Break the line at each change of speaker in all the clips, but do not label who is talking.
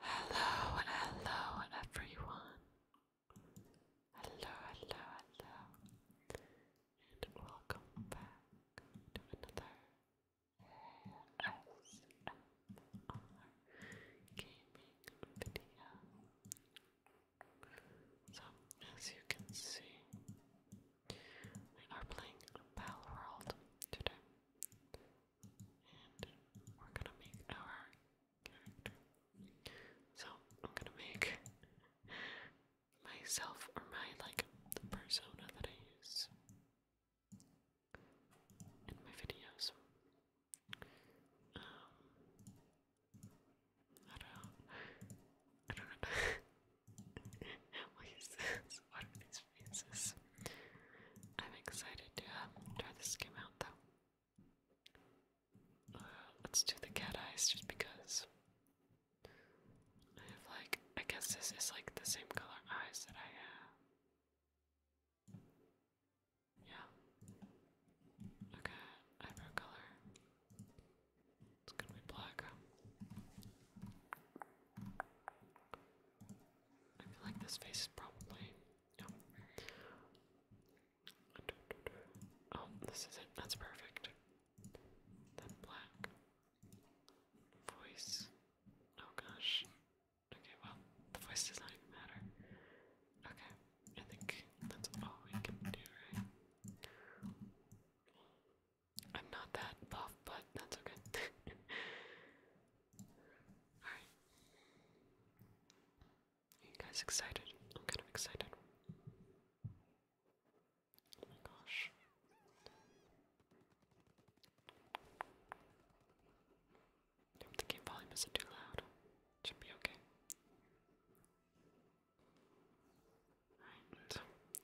Hello, hello, everyone. Hello, hello, hello, and welcome back to another ASMR gaming video. So, as you can see, we are playing Battle World today. And we're gonna make our character. So I'm gonna make myself or my like persona that I use in my videos. Um, I don't I don't know. what is this? What these faces? I'm excited to try this game out though. let's do the cat eyes just because. I have like, I guess this is like the same color eyes that I have. Yeah. Okay, eyebrow color. It's gonna be black. I feel like this face is probably. No. Oh. oh, this is it. That's perfect. Then black. Voice. Oh gosh. Okay, well, the voice does not even matter. Okay, I think that's all we can do, right? I'm not that buff, but that's okay. Alright. you guys excited? I'm kind of excited. Oh my gosh. I hope the volume is too loud. Should be okay.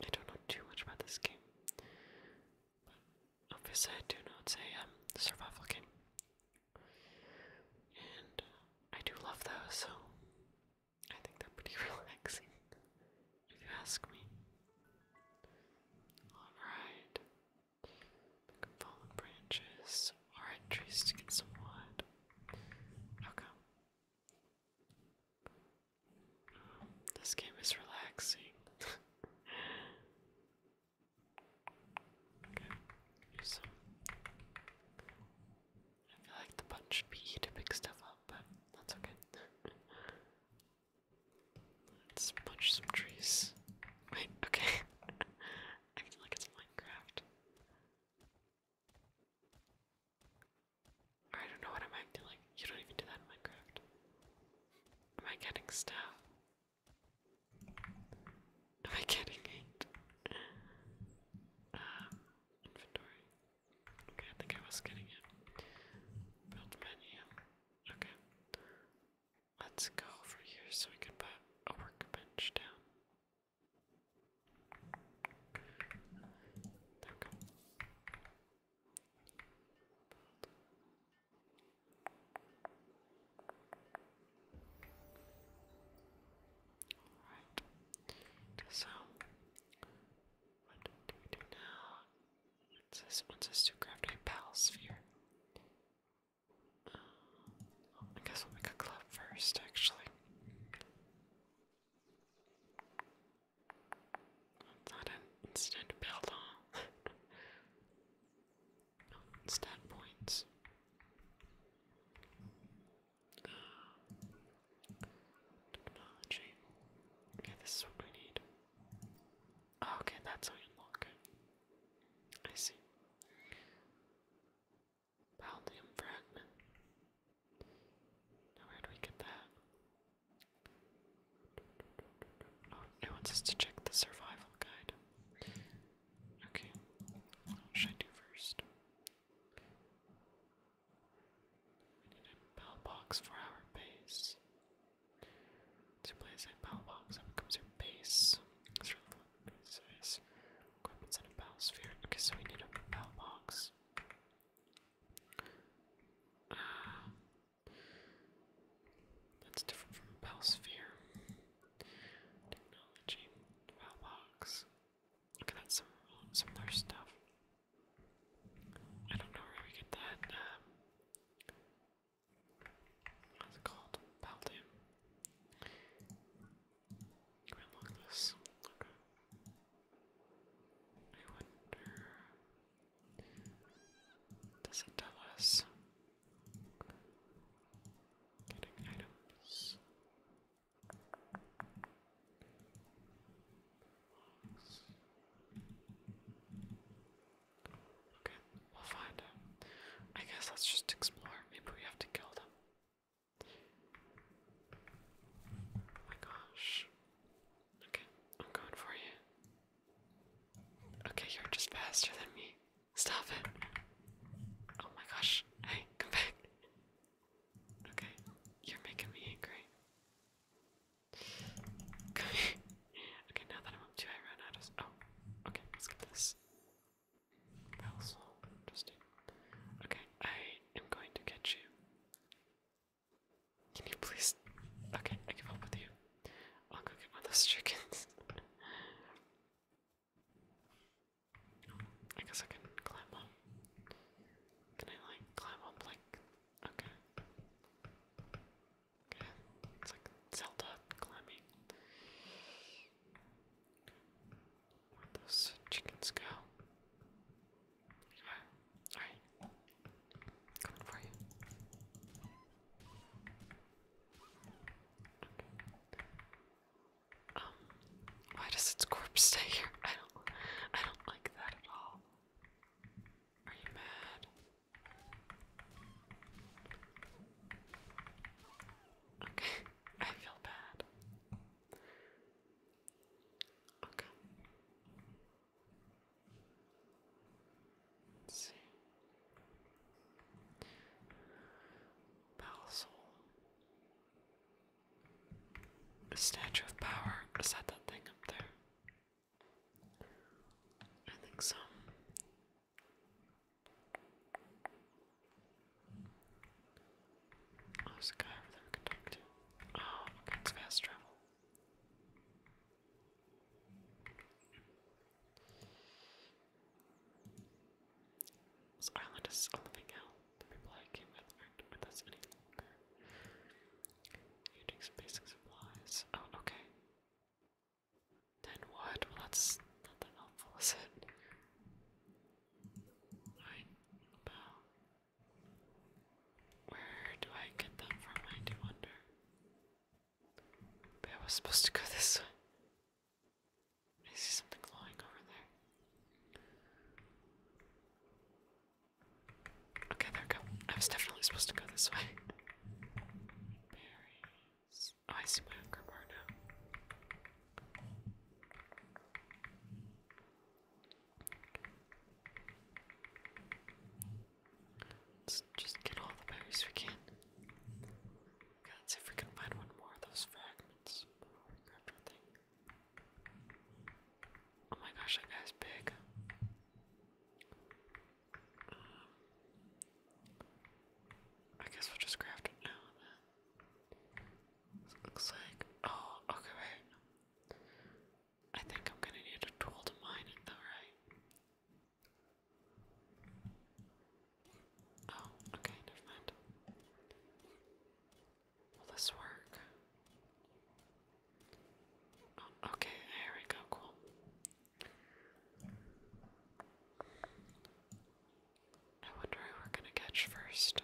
I don't know too much about this game. But obviously I do know it's a survival game. And I do love those, so I think they're pretty relaxing, if you ask me. Alright. Pick up fallen branches. Alright, trees to get some wood. Okay. This game is relaxing. I feel like the button should be to pick stuff up, but that's okay. Let's punch some trees. Wait, okay. Acting like it's Minecraft. I don't know what I'm acting like. You don't even do that in Minecraft. Am I getting stuff? Am I getting it? Um, ah, inventory. Okay, I think I was getting it. Build menu. Okay. Let's go over here so we can put a workbench down. So what do we do now? It says it wants to craft a pal sphere. I guess we'll make a club first, actually not an instant build on. no, points. technology. Okay, this is what we need. Oh, okay, that's how you unlock I see. Paldium fragment. Now where do we get that? Oh, wants us to check the survival guide. Okay. What should I do first? We need a bell box for our base. To place a bell box, that becomes your base. That's really what base is. a bell sphere. Okay, so we need a bell box. Uh, that's different from Bellsphere. Technology, Bellbox. Okay, that's some similar stuff. I don't know where we get that. Um, what's it called? Baldium unlock this? Okay. I wonder. Does it tell us? Getting items. Okay, we'll find them. I guess let's just explore. Maybe we have to kill them. Oh my gosh. Okay, I'm going for you. Okay, you're just faster than me. Stop it. Oh my gosh. Hey, come back. Okay, you're making me angry. Come Okay, now that I'm up to I run out of. Oh, okay, let's get this. Pencil. Interesting. Okay, I am going to get you. Can you please? Okay, I can help with you. I'll go get one of those chickens. I guess I can climb up. Can I like climb up like Okay. It's like Zelda climbing where does those chickens go? Alright. Coming for you. Um, why does its corpse stay here? I don't I don't like that at all. Are you mad? Okay, I feel bad. Okay. see. Palsol. statue of power. Is that that thing up there? I think so. Oh, there's guy over there can talk to. Oh, okay, fast travel. This is living hell. The people I came with aren't with us any some basic supplies. Oh, okay. Then what? Well, that's not that helpful, is it? Right, well, where do I get them from? I do wonder. Maybe was supposed to go this way. I see something glowing over there. Okay, there go. I was definitely supposed to go this way. Oh, I see my hunger bar now. Let's just get all the berries we can. God, see if we can find one more of those fragments before we grab everything. Oh my gosh, that guy's big. Um, I guess we'll just craft it now then. This looks like, oh, okay, wait. I think I'm gonna need a tool to mine it though, right? Oh, okay, never mind. Will this work? Oh, okay, here we go, cool. I wonder who we're gonna catch first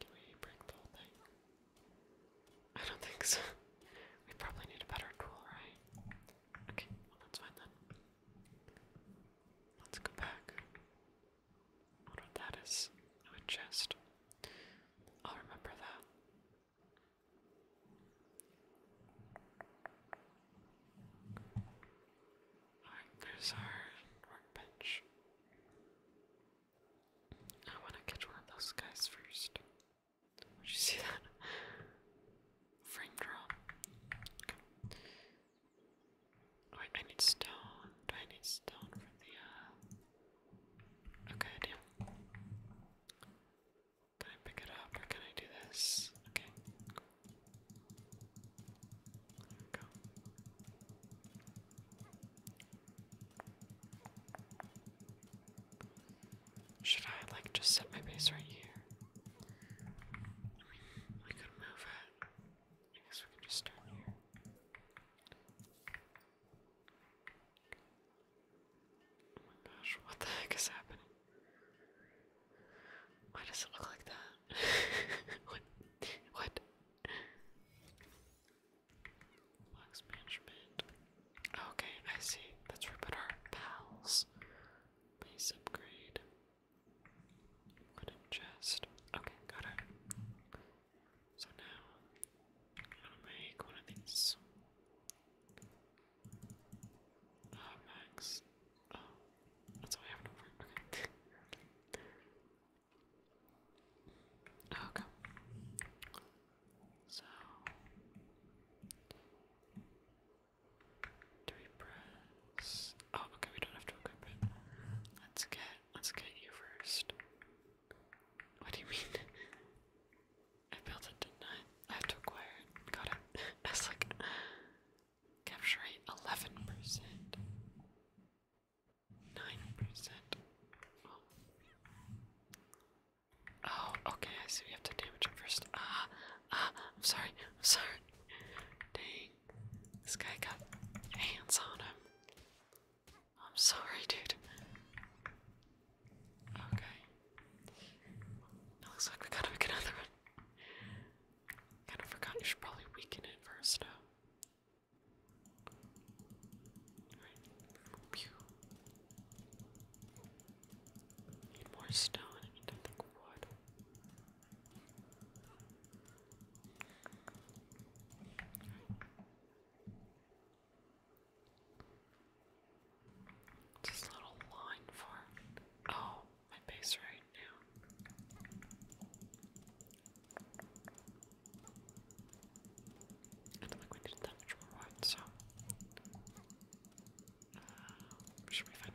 can we break the whole thing? I don't think so. We probably need a better tool, right? Okay, well that's fine then. Let's go back. I wonder what that is. A chest. I'll remember that there's our workbench. I wanna catch one of those guys first. Did you see that? Frame drop. Wait, I need stone. Do I need stone for the uh Okay, I can I pick it up or can I do this? Okay, go. Should I like just set my base right here? I mean, we could move it. I guess we can just start here. Oh my gosh, what the heck is happening? Why does it look like that? what? What? Box Okay, I see. That's where we our pals. Base upgrade. Wooden chest. Okay, got it. So now, I'm gonna make one of these. Uh, that's all I have to work. Okay. So, do we press? Oh, okay. We don't have to equip it. Let's get. Let's get you first. What do you mean? I built it, did I? have to acquire it. Got it. That's like capture eleven percent, nine percent. Oh. oh, okay. I see. We have to damage it first. Ah, ah. I'm sorry. sorry. Dang, this guy got hands on him. I'm sorry, dude. Okay. Looks like we gotta make another one. Kinda forgot you should probably weaken it first now. Need more stone, need to wood. Just a little line for Oh, my base right now. I don't think we did that much more so. Uh, should be fine.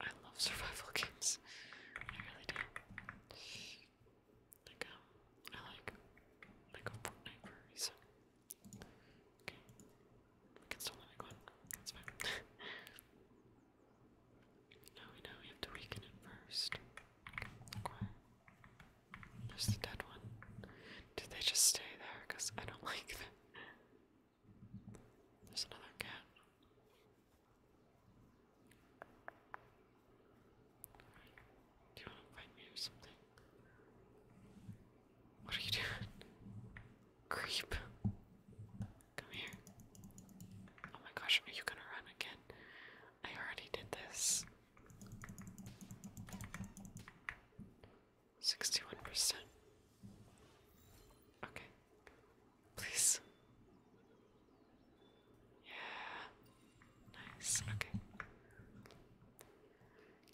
I love survival games. I really do. Like I like like Fortnite for a reason. Okay, we can still make one. That's fine. now we know we have to weaken it first. Okay. There's the dead one. Did they just stay there? Cause I don't like them. There's another cat. Do you want to fight me or something? What are you doing? Creep. Come here. Oh my gosh, are you gonna run again? I already did this. 61%. Okay. Please. Yeah. Nice. Okay.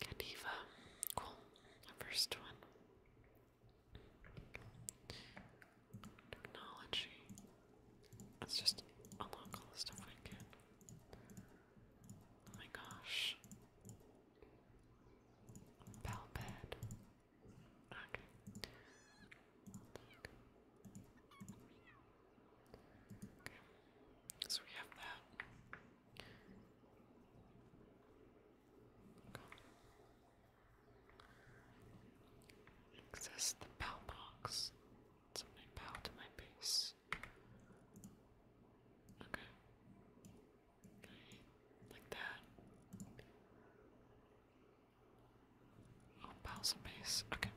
Candiva. Cool. first one. Technology. Let's just a all the stuff we can. Oh my gosh. Palped. Okay. Okay, so we have that. Okay. Access the PAL box. Somebody PAL to my base. Okay. Okay, like that. Oh, Bowser Okay.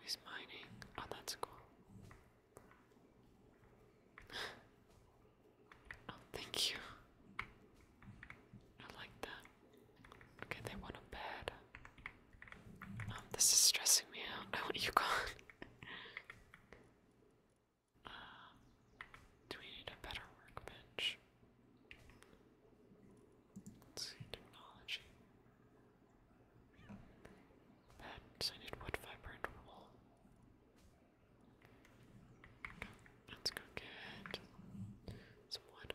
He's mining. Oh, that's cool. oh, thank you. I like that. Okay, they want a bed. Um, this is stressing me out. I want you gone. Uh, do we need a better workbench? see, technology. Beds, I need wood, fiber, let's go get some wood.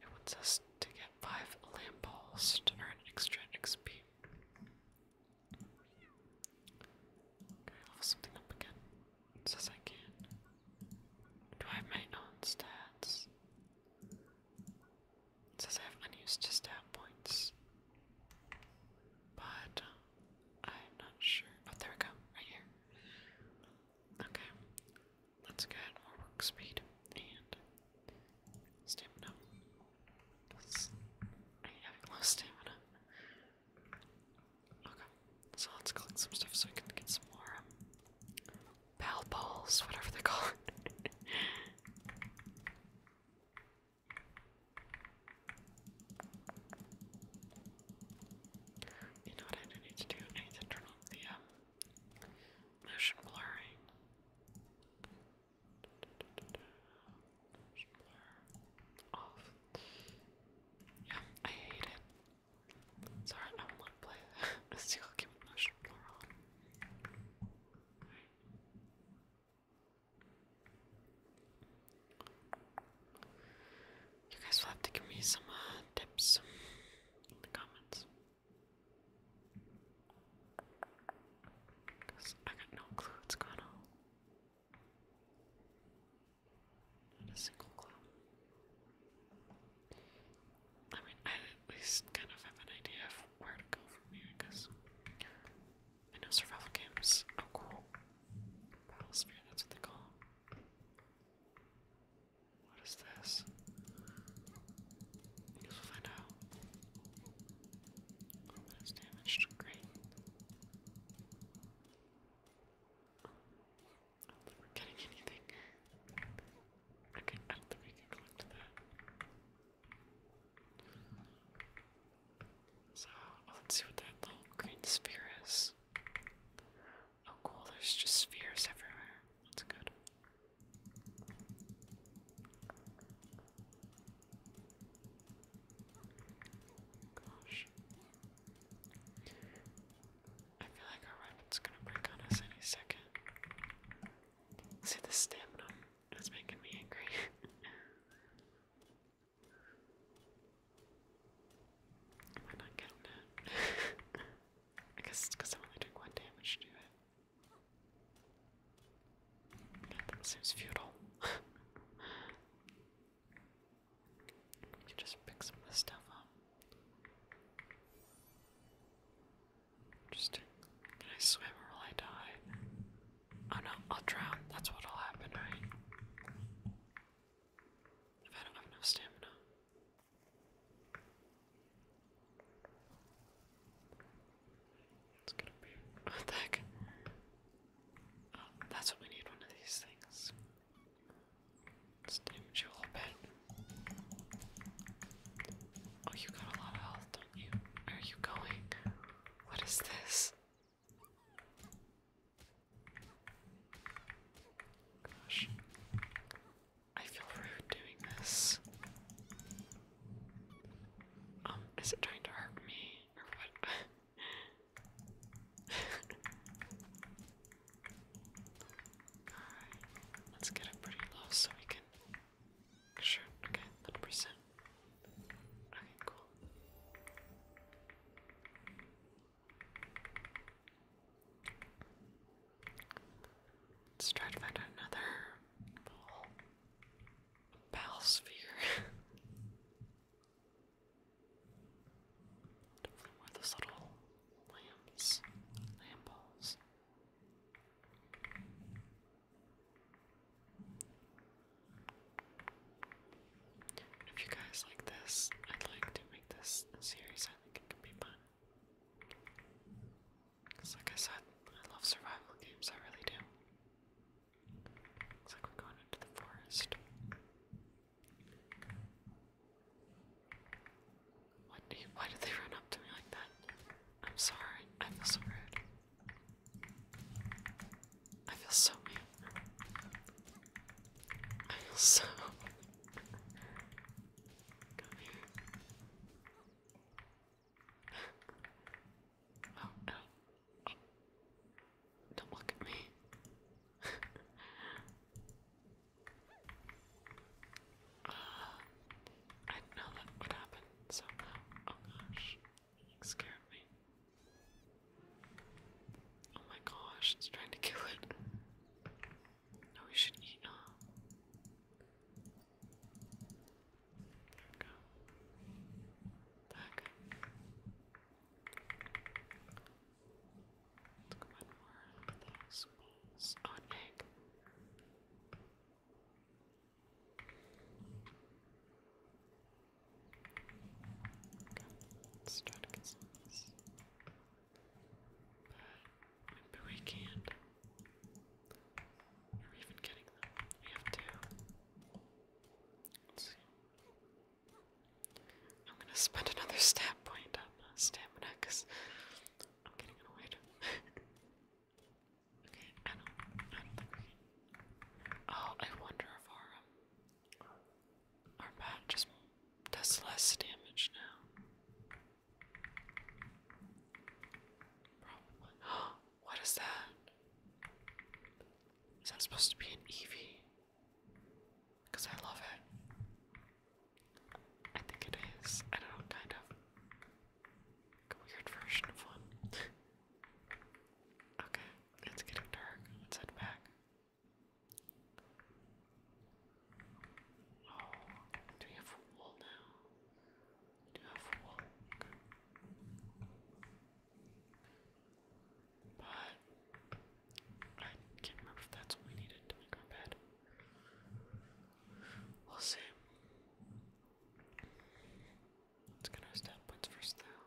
It wants us to get five lamp balls to earn extra XP. level something up again says I can. Do I have my own stats? says I have unused stat points. But uh, I'm not sure. Oh, there we go, right here. Okay, let's more work speed and stamina. I have low stamina. Okay, so let's collect some stuff so we can get some more um, balls, whatever they're called. you know what I need to do? I need to turn on the um, motion blurring off. Yeah, I hate it. Sorry, I don't to play Let's see, keep motion blur on. You guys will have to give me some uh, tips in the comments. Because I got no clue what's going on. Not a single clue. I mean, I at least kind of have an idea of where to go from here, because I know survival games are cool. Battle Battlesphere, that's what they call them. What is this? I we'll find out. Oh, that is damaged. I don't getting anything. Okay, I don't think we can collect that. So, oh, let's see what that little green sphere is. Oh cool, there's just spheres everywhere. That's good. Gosh. I feel like our weapon's gonna break on us any second. See, the stamina is making me angry. We're not getting it. I guess because i only doing one damage to it. That seems futile. You just pick some of this stuff up. Interesting. Can I swim or will I die? Oh no, I'll drown. That's what'll happen, right? I don't have stamina. It's gonna be. What heck? that's what we need one of these things. let you a little bit. Oh, you got a lot of health, don't you? Where are you going? What is this? Gosh. I feel rude doing this. Um, is it trying to hurt me or what? let's get it pretty low so we can. Sure, okay, 100%. Okay, cool. Let's try to find another little sphere. Don't know where little lamps, lamp balls. If you guys like this, I'd like to make this a series. I think it could be fun. Because, like I said, I love survival games, I really do. Looks like we're going into the forest. What do why did they run up to me like that? I'm sorry. I feel so rude. I feel so mean. I feel so. Come oh, no don't look at me. I did that would happen, so oh gosh, it me. Oh my gosh, it's trying to kill it. No, we should eat now. go. Back let on egg. let's try to get some But maybe we can't. Are even getting them? We have two. Let's see. I'm gonna spend another stat point on uh, stamina because I'm getting annoyed. okay, I don't, Oh, I wonder if our, um, our bat just does less damage now. Probably. Oh, what is that? Is that supposed to be an EV? Because I love it. I think it is. I don't kind of. a weird version of one. okay, it's getting dark. Let's head back. Oh, do we have wool now? Do you have wool? But I can't remember if that's what we needed to make our bed. We'll see. Let's get our stat first though.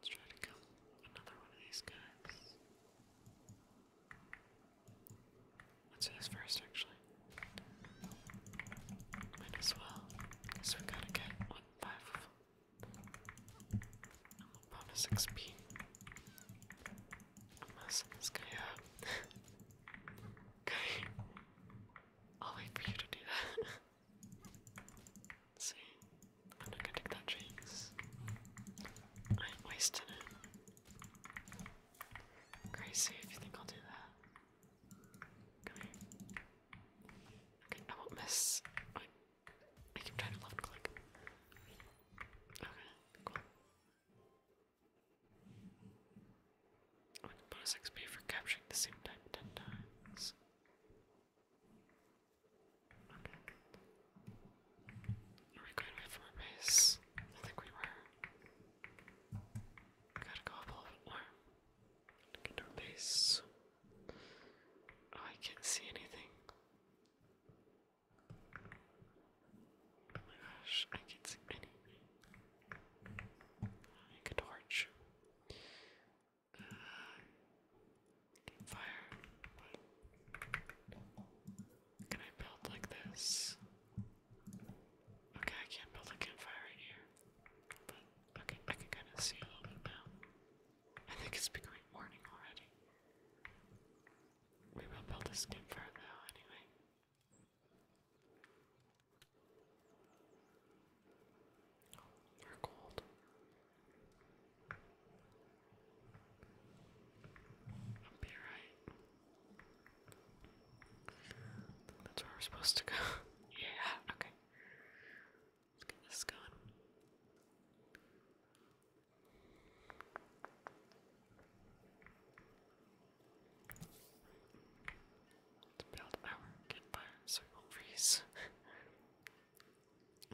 Let's try to kill another one of these guys. Let's do this first, actually. Might as well, because we gotta get what five I'm a bonus XP. I'm messing this guy up. okay, I'll wait for you to do that. see, I'm not gonna take that chance. I ain't it. Crazy if you think I'll do that. Okay, I will miss. I, keep trying to left click. Okay, cool. Oh, bonus XP for capturing the same type 10 times. Okay. Are we going away from base? I think we were. gotta go a little bit more. To base. Oh, I can't see anything. Oh my gosh, I can't see anything. make a torch. Uh, Fire. Can I build like this? Okay, I can't build a campfire right here. But okay, I can kind of see a little bit now. I think it's becoming morning already. We will build this campfire though, anyway. Oh, are cold. I'll be right. That's where we're supposed to go. yeah, okay. Let's get this going. To build our campfire so we won't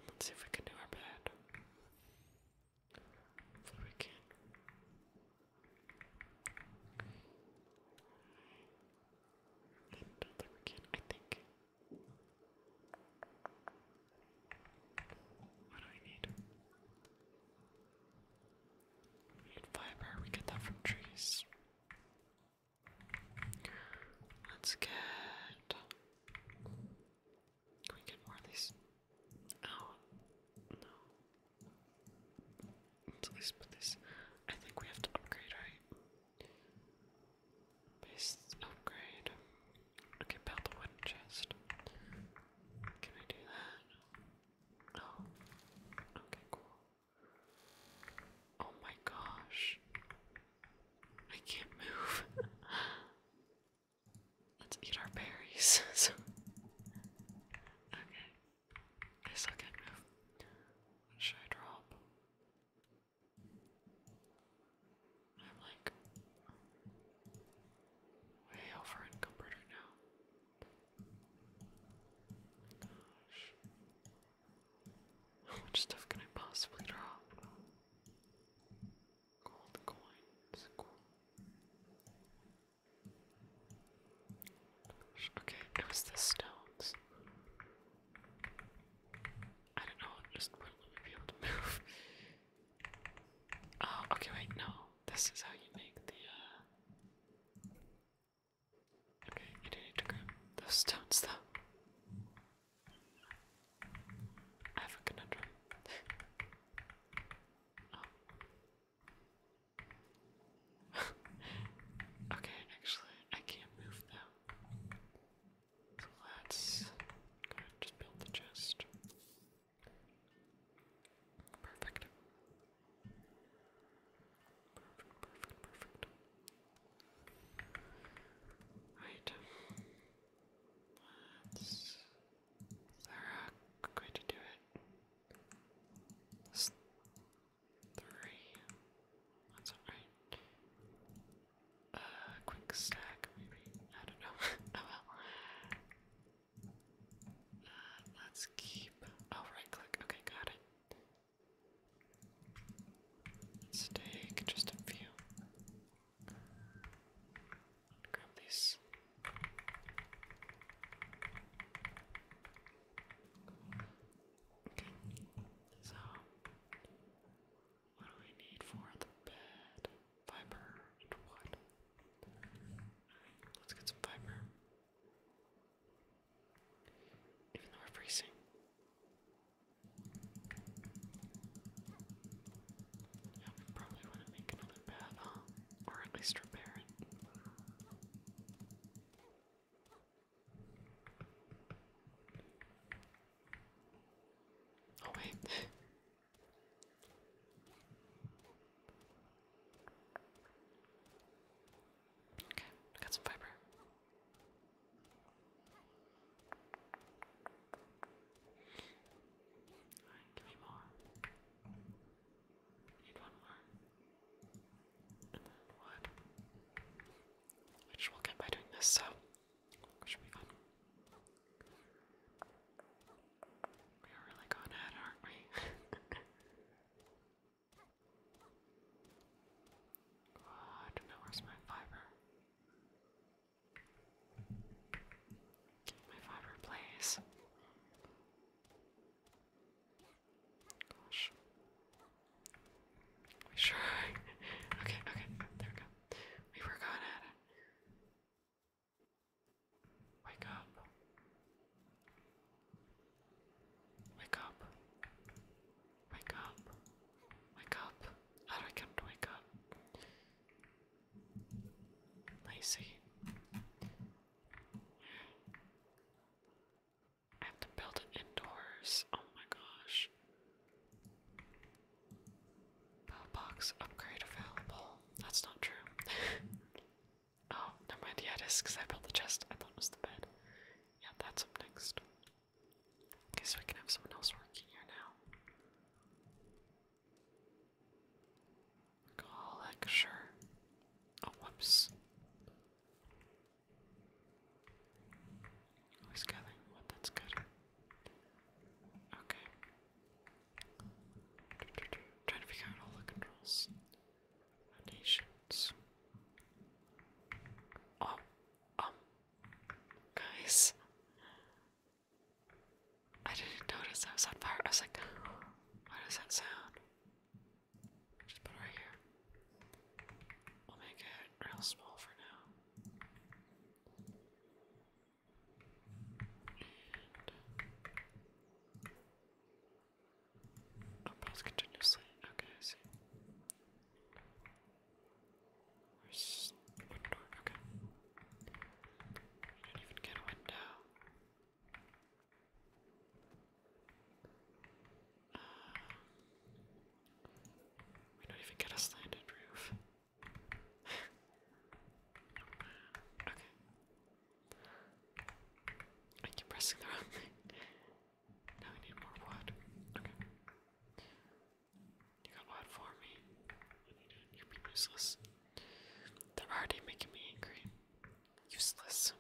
let's see if we can do our bed. Hopefully we I think What do we need? need fiber. We get that from trees. Let's get we get more of Oh, no. Let's put this. I think we have to upgrade, right? Base upgrade. Okay, build the wooden chest. Can we do that? Oh. Okay, cool. Oh my gosh. I can't move. Let's eat our berries. okay. I still can't move. What should I drop? I'm like way over encumbered right now. Gosh. stuff can I possibly draw? Gold coins. okay, it stones. I don't know, just wouldn't let me be able to move. oh, okay, wait, no. This is how you make the, uh, Okay, you do need to grab those stones, though. I have a conundrum. okay, actually, I can't move now. So let's just build the chest. Perfect, perfect, perfect. Right. Let's is there a to do it? three. That's alright. Uh, quick stack, maybe. I don't know. oh let's keep. Oh, right click. Okay, got it. let just a few. Grab these. Okay, so what do we need for the bed? Fiber and wood. let's get some fiber. Even though we're freezing. Yeah, we probably want to make another path, huh? Or at least repair it. Oh, wait. okay, got some fiber give me more. need one more. And then wood. Which we'll get by doing this, so which will be fun. are really going ahead, aren't we? God, now where's fiber? My fiber, please. Gosh. We sure. okay, okay. There we go. We were going it. Wake up. Wake up. Wake up. Wake up. I get him to wake up? Lazy. I have to build it indoors. Oh my gosh. Bell upgrade available. That's not true. oh, never mind. Yeah, it is because I built the chest. I thought it was the bed. Yeah, that's up next. Okay, so we can have someone else working here now. Call Oh, whoops. Always gathering oh, that's good. Okay. Trying to figure out all the controls. Foundations. Oh, um, guys. I didn't notice I was on fire. I was like, "What does that sound? Just put right here. We'll make it real small for now. And Oh, both continuously. Okay, I see. Where's one door? Okay. I didn't even get a window. we don't even get a slanted roof. okay. I keep pressing the wrong thing. Now we need more wood. Okay. You got what for me? are you are useless. They're already making me angry. Useless.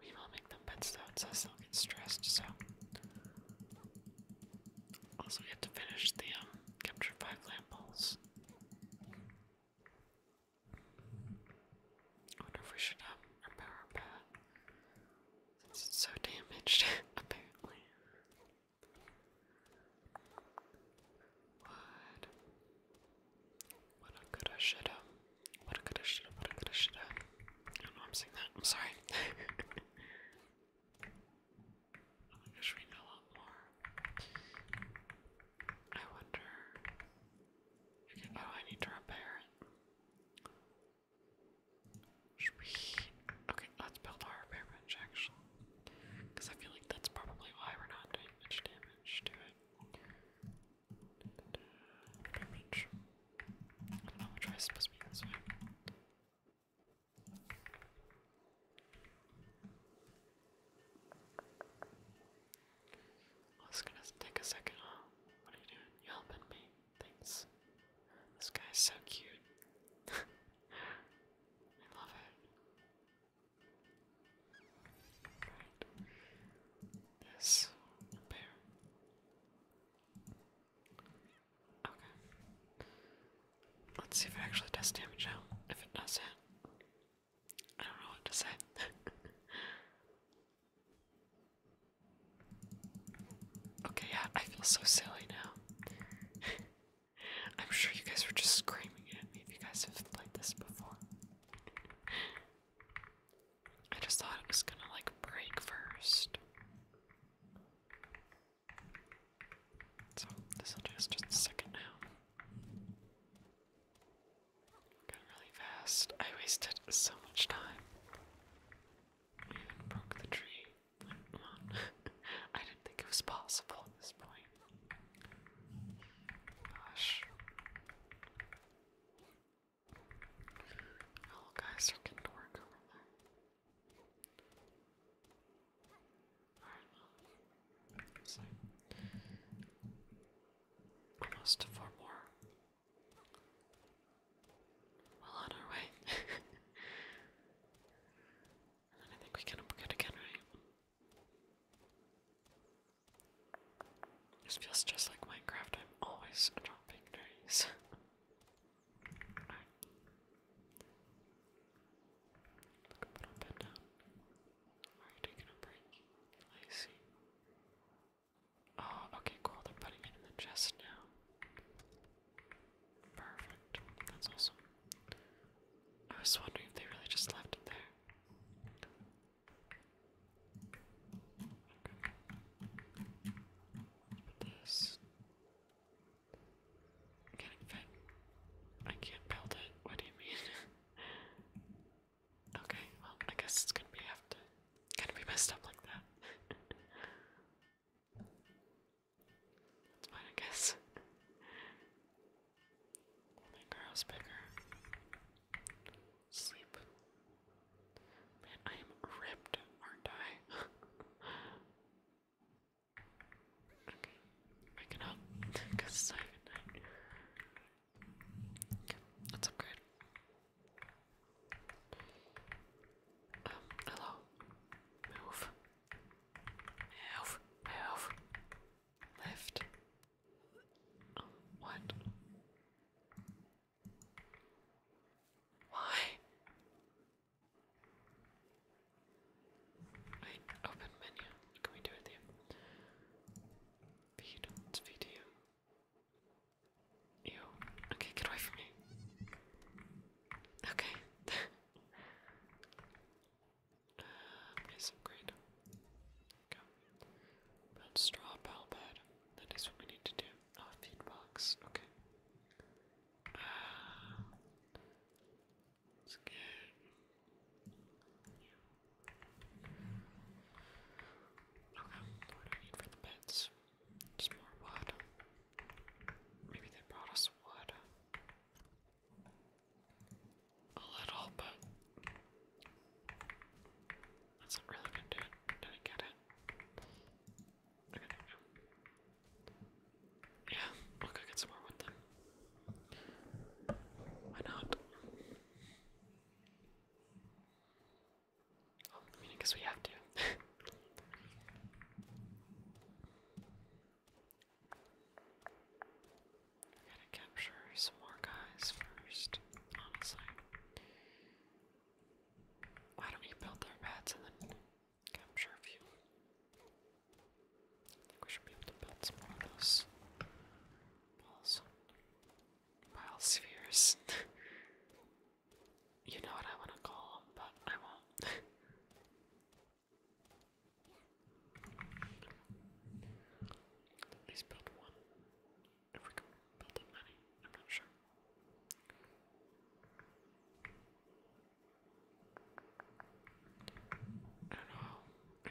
We will make them pets though, it they'll get stressed, so. Also, we have to finish the um, capture five lamp wonder if we should up um, our power bat. it's so damaged, apparently. What? What a good I What a good What a good I should not know am that. I'm sorry. oh my gosh, a lot more. I wonder. oh, I need to repair it. Okay, let's build our repair bench actually. Because I feel like that's probably why we're not doing much damage to it. how much I supposed to be this way. Well, it's gonna take a second, What are you doing? You helping me? Thanks. This guy's so cute. I love it. Great. Yes, Okay. Let's see if it actually does damage out. If it does hit. I don't know what to say. okay, yeah, I feel so silly now. I'm sure you guys were just screaming at me if you guys have played this before. I just thought it was gonna like break first. So this'll just just a second now. Got really fast. I wasted so much time. I even broke the tree. I didn't think it was possible at this point. Gosh. Oh, guys are to work over there. Alright, so almost to four more. Well on our way. And I think we can upgrade again, right? This feels just like Minecraft. I'm always dropping trees. Alright. Look up and up down. Are you taking a break? I see. Oh, okay, cool. They're putting it in the chest now. Perfect. That's awesome. I was wondering if they really just left it there. this. Can it fit? I can't build it. What do you mean? okay, well, I guess it's gonna be have to kind of be messed up like that. That's fine, I guess. We'll bigger. Sleep. Man, I am ripped, aren't I? okay, waking up. Because it's not Okay, um, hello. Move. Move, move, lift. what? Why? Wait, open menu. What can we do with you? Feed. Let's feed you. You. Okay, get away from me. Okay. Yes, i great. Go. Build straw pal That is what we need to do. Oh, feed box. Okay. Uh, let's Okay, what do I need for the beds? Just more wood. Maybe they brought us wood. A little, but that's not really gonna do it. Didn't get it. Yeah, we'll more wood then. Why not? Oh, I we have to. Gotta capture some more guys first, honestly. Why don't we build their beds and then capture a few? I think we should be able to build some of those balls. Bile spheres. you know what I want to call them, but I won't. At least build one. If we can build that many, I'm not sure. I how.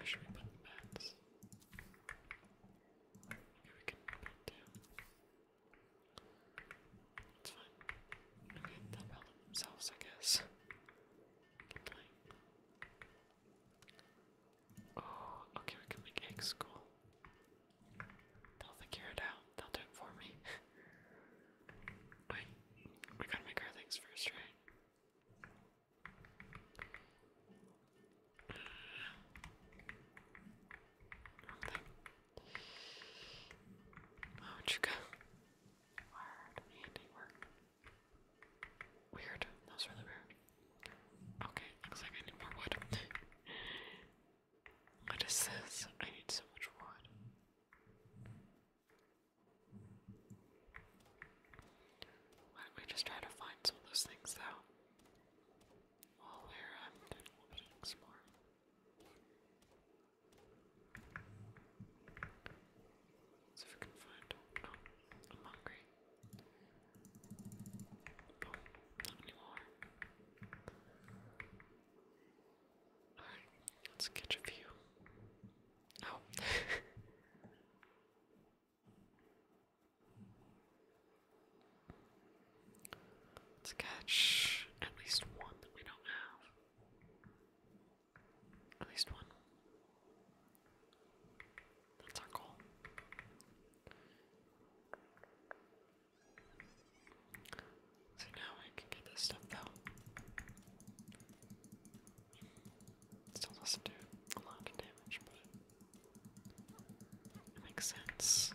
should we put beds? Maybe we can put down. It's fine. Okay, they'll problem themselves, I guess. Oh, okay, we can make eggs cool. They'll figure it out. They'll do it for me. Wait, we gotta make our things first, right? Uh, wrong Mouchka. Word. Weird. That was really weird. Okay, looks like I need more wood. what is this? I need so much wood. Why don't we just try to find some of those things though? While we're um, doing a little Let's see if we can find. No, I'm hungry. No, not anymore. Alright, let's catch a few. Oh. Let's catch at least one that we don't have. At least one. That's our goal. So now I can get this stuff though. Still doesn't do a lot of damage, but it makes sense.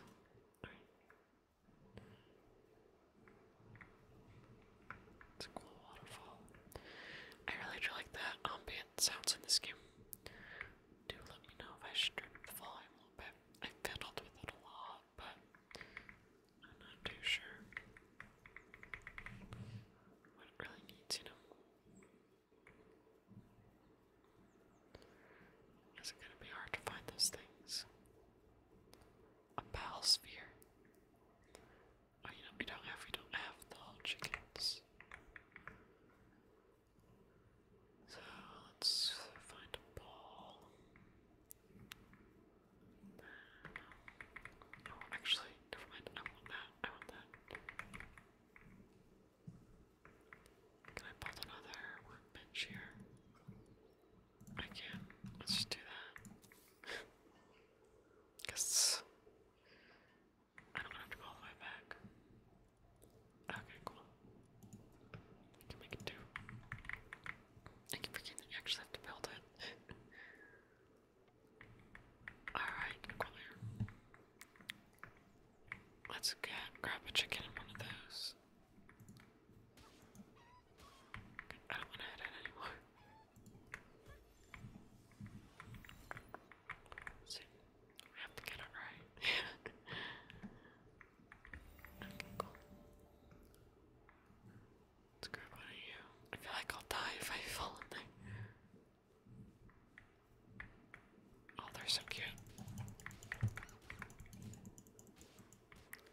It's a cool waterfall. I really do like the ambient sounds in this game. Do let me know if I should turn up a little bit. I fiddled with it a lot, but I'm not too sure what it really needs, you know. Is it gonna be hard to find those things? a ball sphere. Oh, you know we don't have we don't have the whole chickens. So let's find a ball. No, actually, never mind. I want that. I want that. Can I build another workbench here? I can. Let's just do that. Cause I don't have to go all the way back. Okay, cool. I can make it two. I can forget that you actually have to build it. Alright, come Let's get, grab a chicken and one of those. I don't want to hit it anymore. So, we have to get it right. Let's grab one of you. I feel like I'll die if I fall in there. Oh, they're so cute.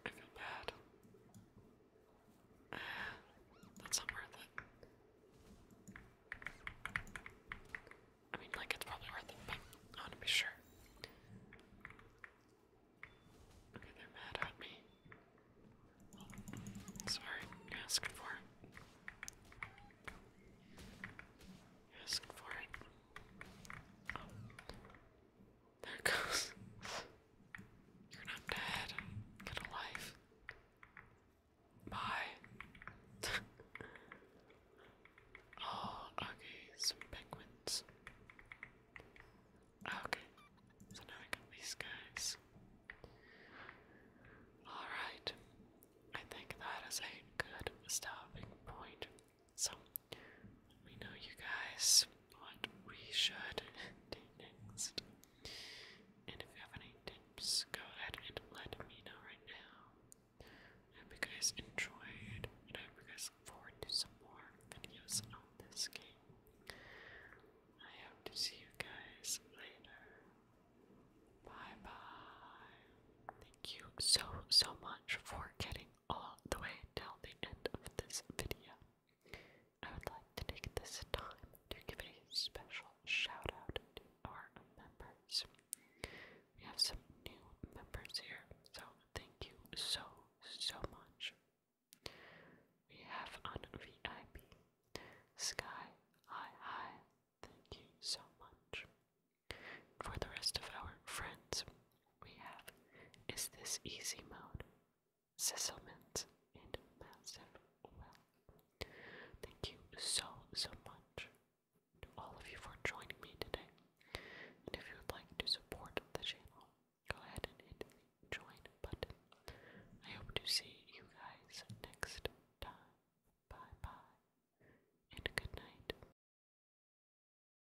I feel bad. that's not worth it. I mean, like, it's probably worth it, but I want to be sure. Okay, they're mad at me. Sorry, asking for it. asking for it. There goes. You're not dead. Get a Bye. oh, okay. Some penguins. Okay. So now I got these guys. Alright. I think that is a good stopping point so, we know you guys what we should do next. And if you have any tips, go ahead and let me know right now. I hope you guys enjoyed, and I hope you guys look forward to some more videos on this game. I hope to see you guys later. Bye bye. Thank you so, so much for getting all the way till the end of this video, I would like to take this time to give a special shout out to our members. We have some new members here, so thank you so, so much. We have on Sky Hi Hi, thank you so much. For the rest of our friends, we have is this easy mode, settlement, and massive wealth. Thank you so, so much to all of you for joining me today. And if you would like to support the channel, go ahead and hit the join button. I hope to see you guys next time. Bye bye, and good night.